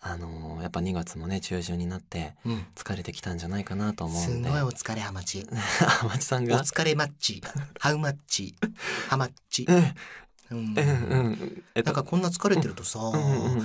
あのやっぱ2月もね中旬になって疲れてきたんじゃないかなと思うんで、すごいお疲れハマチ ハマチさんがお疲れマッチハウマッチハマッチ、うん、うんうこんな疲れてるとさ、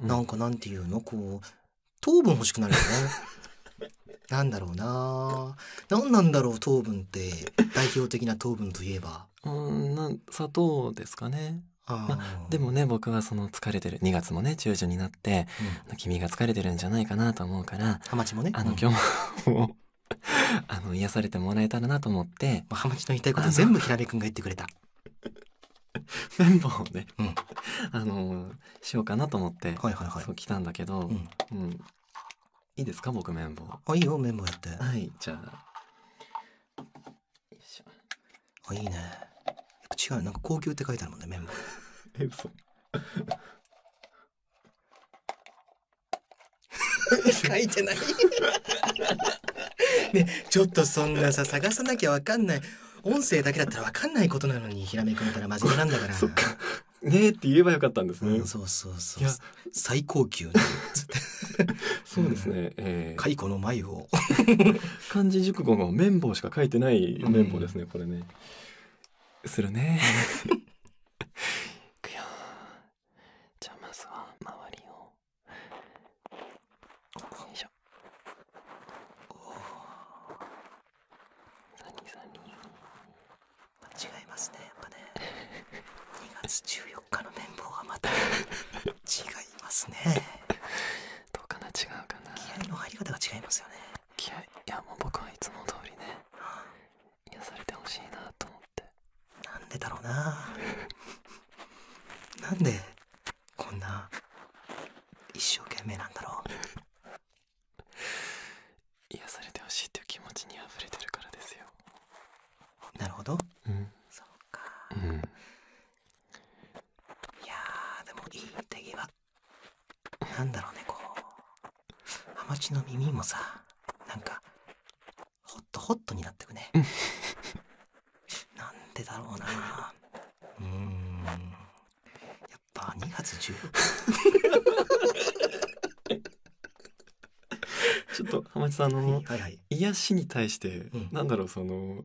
なんかなんていうのこう糖分欲しくなるよね なんだろうな何なんだろう糖分って代表的な糖分といえばうんな砂糖ですかねでもね僕はその疲れてる2月もね中旬になって、君が疲れてるんじゃないかなと思うからハマチもね今日も 癒やされてもらえたらなと思ってハマチの言いたいこと全部平部君が言ってくれた綿棒 をね、あのしようかなと思って、そう来たんだけど、いいですか僕綿棒あいいよ綿棒やってはいじゃああ、いいね。違う、なんか高級って書いてあるもんね、麺も。え、嘘。書いてない ねちょっとそんなさ探さなきゃわかんない音声だけだったらわかんないことなのにひらめくんから真面目なんだからねって言えばよかったんですね、うそうそうそう最高級ね そうですね、えー、蚕の眉を漢字熟語の綿棒しか書いてない綿棒ですね、これねするね じゃあまずは周りをよい違いますねやっぱね2月14日の綿棒はまた違いますねどうかな違うかな気合の入り方が違いますよね気合いやもう僕はいつも通りね癒やされてほしいなと思ってなんでだろうななんでこんな一生懸命なんだろう癒されてほしいっていう気持ちに溢れてるからですよなるほど、そうか、うん、いやーでもいい手際なんだろうねこうハマチの耳もさなんかホットホットになってくねなんでだろうなうんやっぱ2月14 ちょっと浜地さんあの、はい癒しに対して、うなんだろうその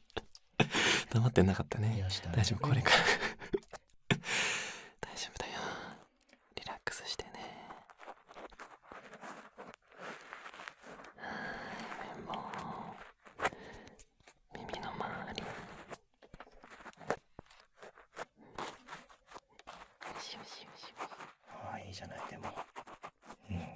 黙ってなかったね大丈夫これから 大丈夫だよリラックスしてねはい綿棒耳の周りよしよしよしああいいじゃないでもうん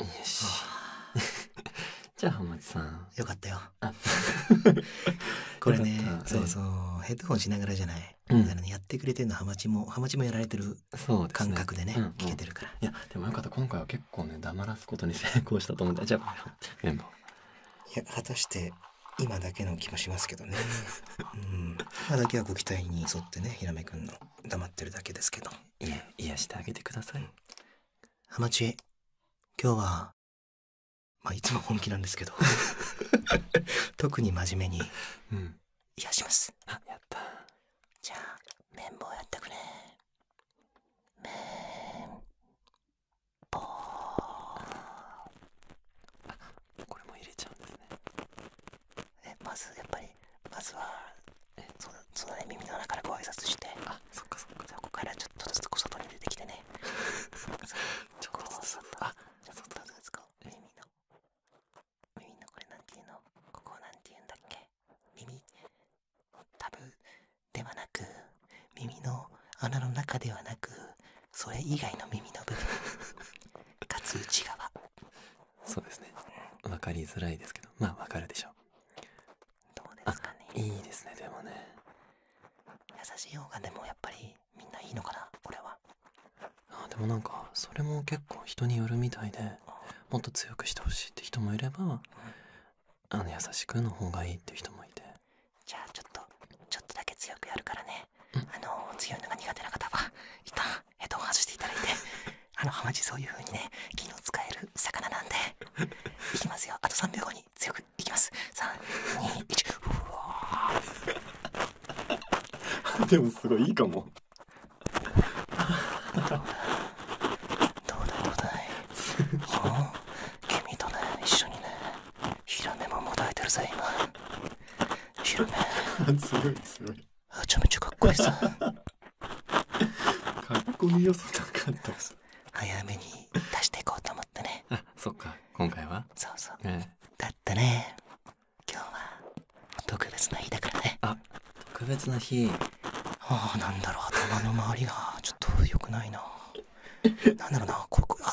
よし じゃあ浜地さんよかったよ これねそうそう、い、ヘッドホンしながらじゃない、だからねやってくれてるのハマチもハマチもやられてる感覚でね、聞けてるからいやでもよかった今回は結構ね黙らすことに成功したと思ってじゃあいや果たして今だけの気もしますけどね うんまあだけはご期待に沿ってねひらめくんの黙ってるだけですけどいや癒してあげてくださいハマチ今日はまいつも本気なんですけど 特に真面目に癒します、うん、あやったじゃあ綿棒やってくれ綿棒これも入れちゃうんですねえまずやっぱりまずはえそそうだね耳の中からご挨拶してあそっかそっかじゃあここからちょっとずつ外に出てきてね ちょっとずつあじゃあちっとずつこ耳の耳のこれなんていうのここなんて言うんだっけ耳タブではなく耳の穴の中ではなくそれ以外の耳の部分 かつ内側そうですね分かりづらいですけどまあ分かるでしょうどうですかねいいですねでもね優しい方がでもやっぱりみんないいのかなこれはあでもなんかそれも結構人によるみたいでもっと強くしてほしいって人もいれば、あの優しくの方がいいって人もいてじゃあちょっとちょっとだけ強くやるからね、あの強いのが苦手な方はいたは ヘッドホ外していただいて あのハマチそういう風にね気の使える魚なんで いきますよあと3秒後に強くいきます321うわーでもすごいいいかもどうだいどうだい君とね一緒にねヒラメももたえてるぜ今白目すごいすごいめちゃめちゃかっこいいさかっこいいよ早めに出していこうと思ってねあそっか今回はそうそう、うん、だってね今日は特別な日だからねあ特別な日ああなんだろう頭の周りがちょっと良くないななんだろうなここあ。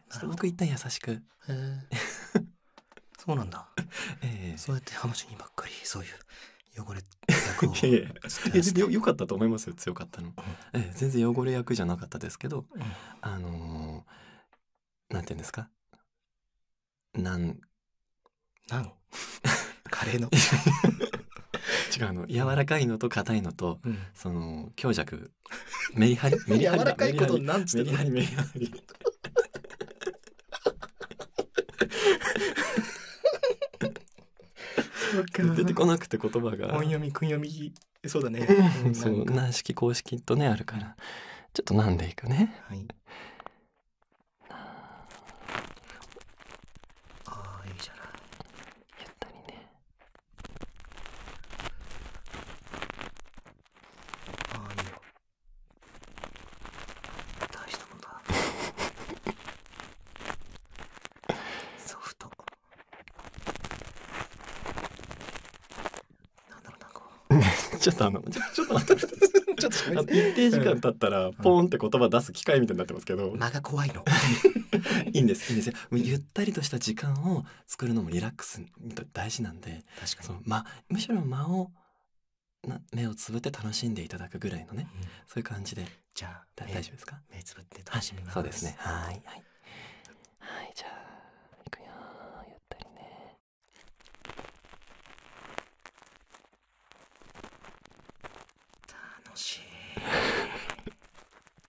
なるほど僕一旦優しく。そうなんだ。ええそうやって話ばっかりそういう汚れ役を いやよかったと思いますよ強かったの、ええ全然汚れ役じゃなかったですけど、あのなんて言うんですかなんなん カレーの、違うの柔らかいのと硬いのとその強弱 メリハリメリハリ柔らかいことなんつって出てこなくて言葉が。音読み、訓読み、そうだね。うん、そう、軟式公式とね、あるから。ちょっとなんでいくね。はい。ああ、いいじゃない。ゆったりね。ああいいよ大したもんだソフトなんだろうなんか ちょっとあのちょちょっと待ってちょっとあ一定時間経ったらポンって言葉出す機会みたいになってますけど間が怖いの いいんですいいんですよゆったりとした時間を作るのもリラックス大事なんで確かその、ま、むしろ間をな目をつぶって楽しんでいただくぐらいのね、そういう感じでじゃあ大丈夫ですか目つぶって楽しみます、はい、うじゃあくよゆったりね楽しい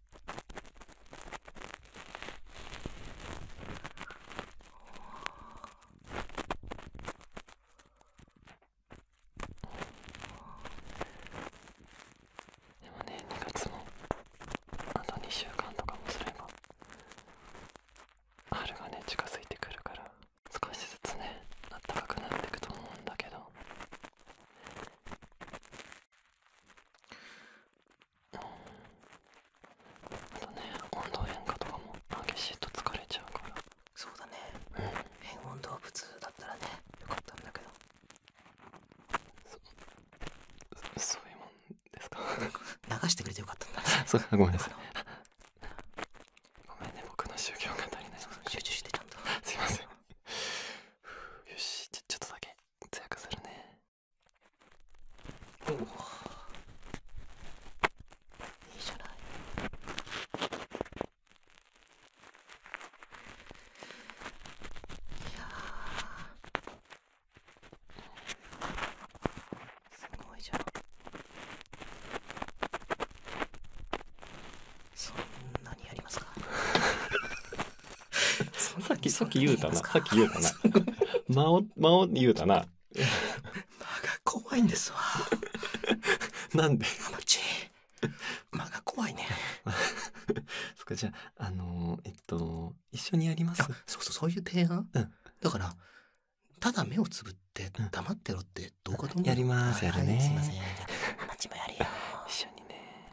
でもね2月もあと2週間とかもすれば春がね近づいてくるから少しずつねあったかくなっていくと思うんだけどあとね温度変化とかも激しいと疲れちゃうからそうだね、変温動物だったらねよかったんだけどそそういうもんですか流してくれてよかったんだ、そうごめんなさいごめんね僕の宗教が足りない集中してちゃんと すいませんよしちょっとだけ通訳するねおお。いいじゃないいやすごいじゃんそんなにやりますかさっき、さっき言うたな。さっき言うたな。間 を、間を言うたな。間が怖いんですわ。なんでマチ。間が怖いね。そっか、じゃあ、あのえっと、一緒にやりますそうそう、そういう提案、だから、ただ目をつぶって黙ってろってどうかと思やります、やるね。すいません。マチもやるよ。一緒にね。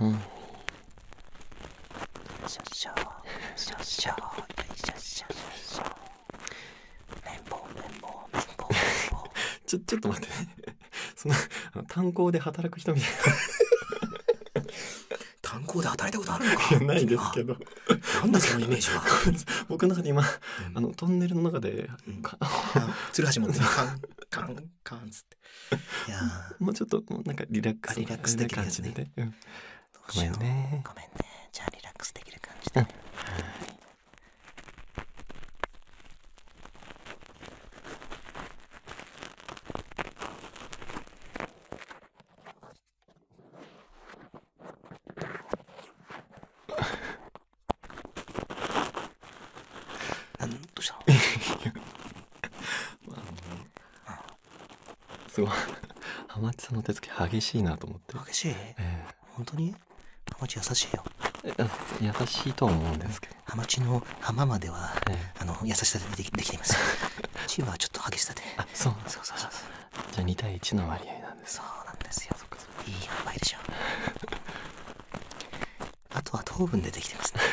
うん、ちょちょっと待ってその炭鉱で働く人炭鉱で働いたことあるないですけどなんだそのイメージは僕の中で今、あのトンネルの中で、うん、鶴橋持 ってカンカンカンつっいや もうちょっとなんかリラックスできる感じで、うん、ごめんねじゃあリラックスできる感じで、ね、うんどうしたま すごい 浜内さんの手つき激しいなと思って激しい、えー、本当に浜内優しいよ優しいと思うんですけど浜地の浜までは、あの優しさでできできていますチームはちょっと激しさであそうなんですそうそうそうじゃあ2対1の割合なんですそうなんですよいい販売でしょあとは糖分でできてますね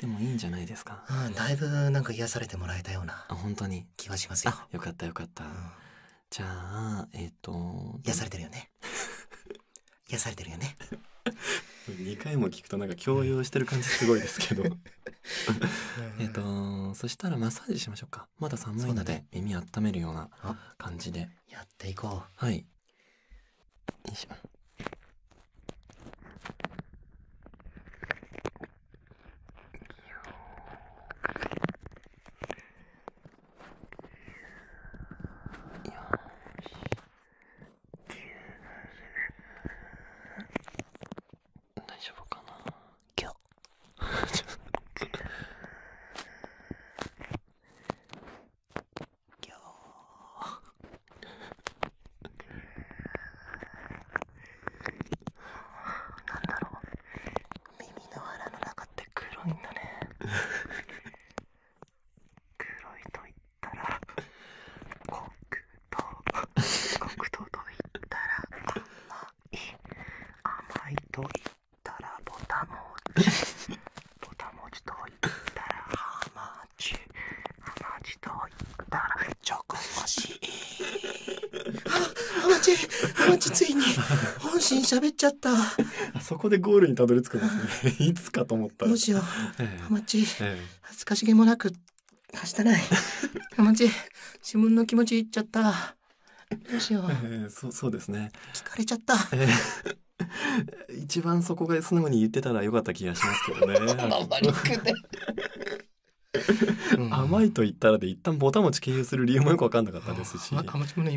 でもいいんじゃないですか、だいぶなんか癒やされてもらえたような本当に気はしますよよかったよかった、じゃあえっ、と癒されてるよね 癒されてるよね2回も聞くとなんか強要してる感じすごいですけど えっとそしたらマッサージしましょうかまだ寒いので耳あっためるような感じで、やっていこうはいよしょ大丈夫かな今日今日なんだろう耳の腹の中って黒いんだね 黒いと言ったら黒糖黒糖と言ったら甘い甘いと言ったらボタン餅ボタン餅と言ったらハマち鼻と言ったら直し鼻血鼻血ついに本心喋っちゃったそこでゴールにたり着くんですねいつかと思ったどうしよう恥ずかしげもなくはしたない鼻血自分の気持ち言っちゃったどうしよう、そうですね聞かれちゃった、一番そこが素直に言ってたらよかった気がしますけどね。甘いと言ったらで一旦ボタぼた餅経由する理由もよく分かんなかったですしあまちもね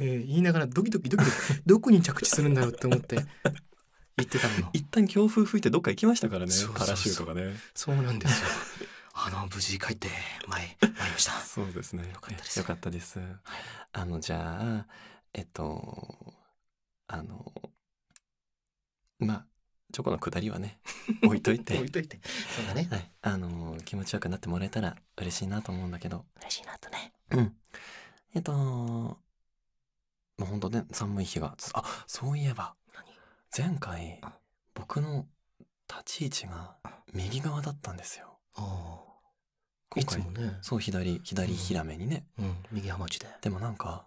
言いながらドキドキドキドキどこに着地するんだよって思って言ってたの一旦強風吹いてどっか行きましたからねパラシュートがねそうなんですよあの無事帰って前参りましたそうですねよかったですよかったです、あのじゃあえっとあのまあチョコのくだりはね 置いといてそうだね、あの気持ちよくなってもらえたら嬉しいなと思うんだけど嬉しいなとねうんえっともうほんとね寒い日があそういえば前回僕の立ち位置が右側だったんですよああ、いつもねそう左左ひらめにね、右ハマチででもなんか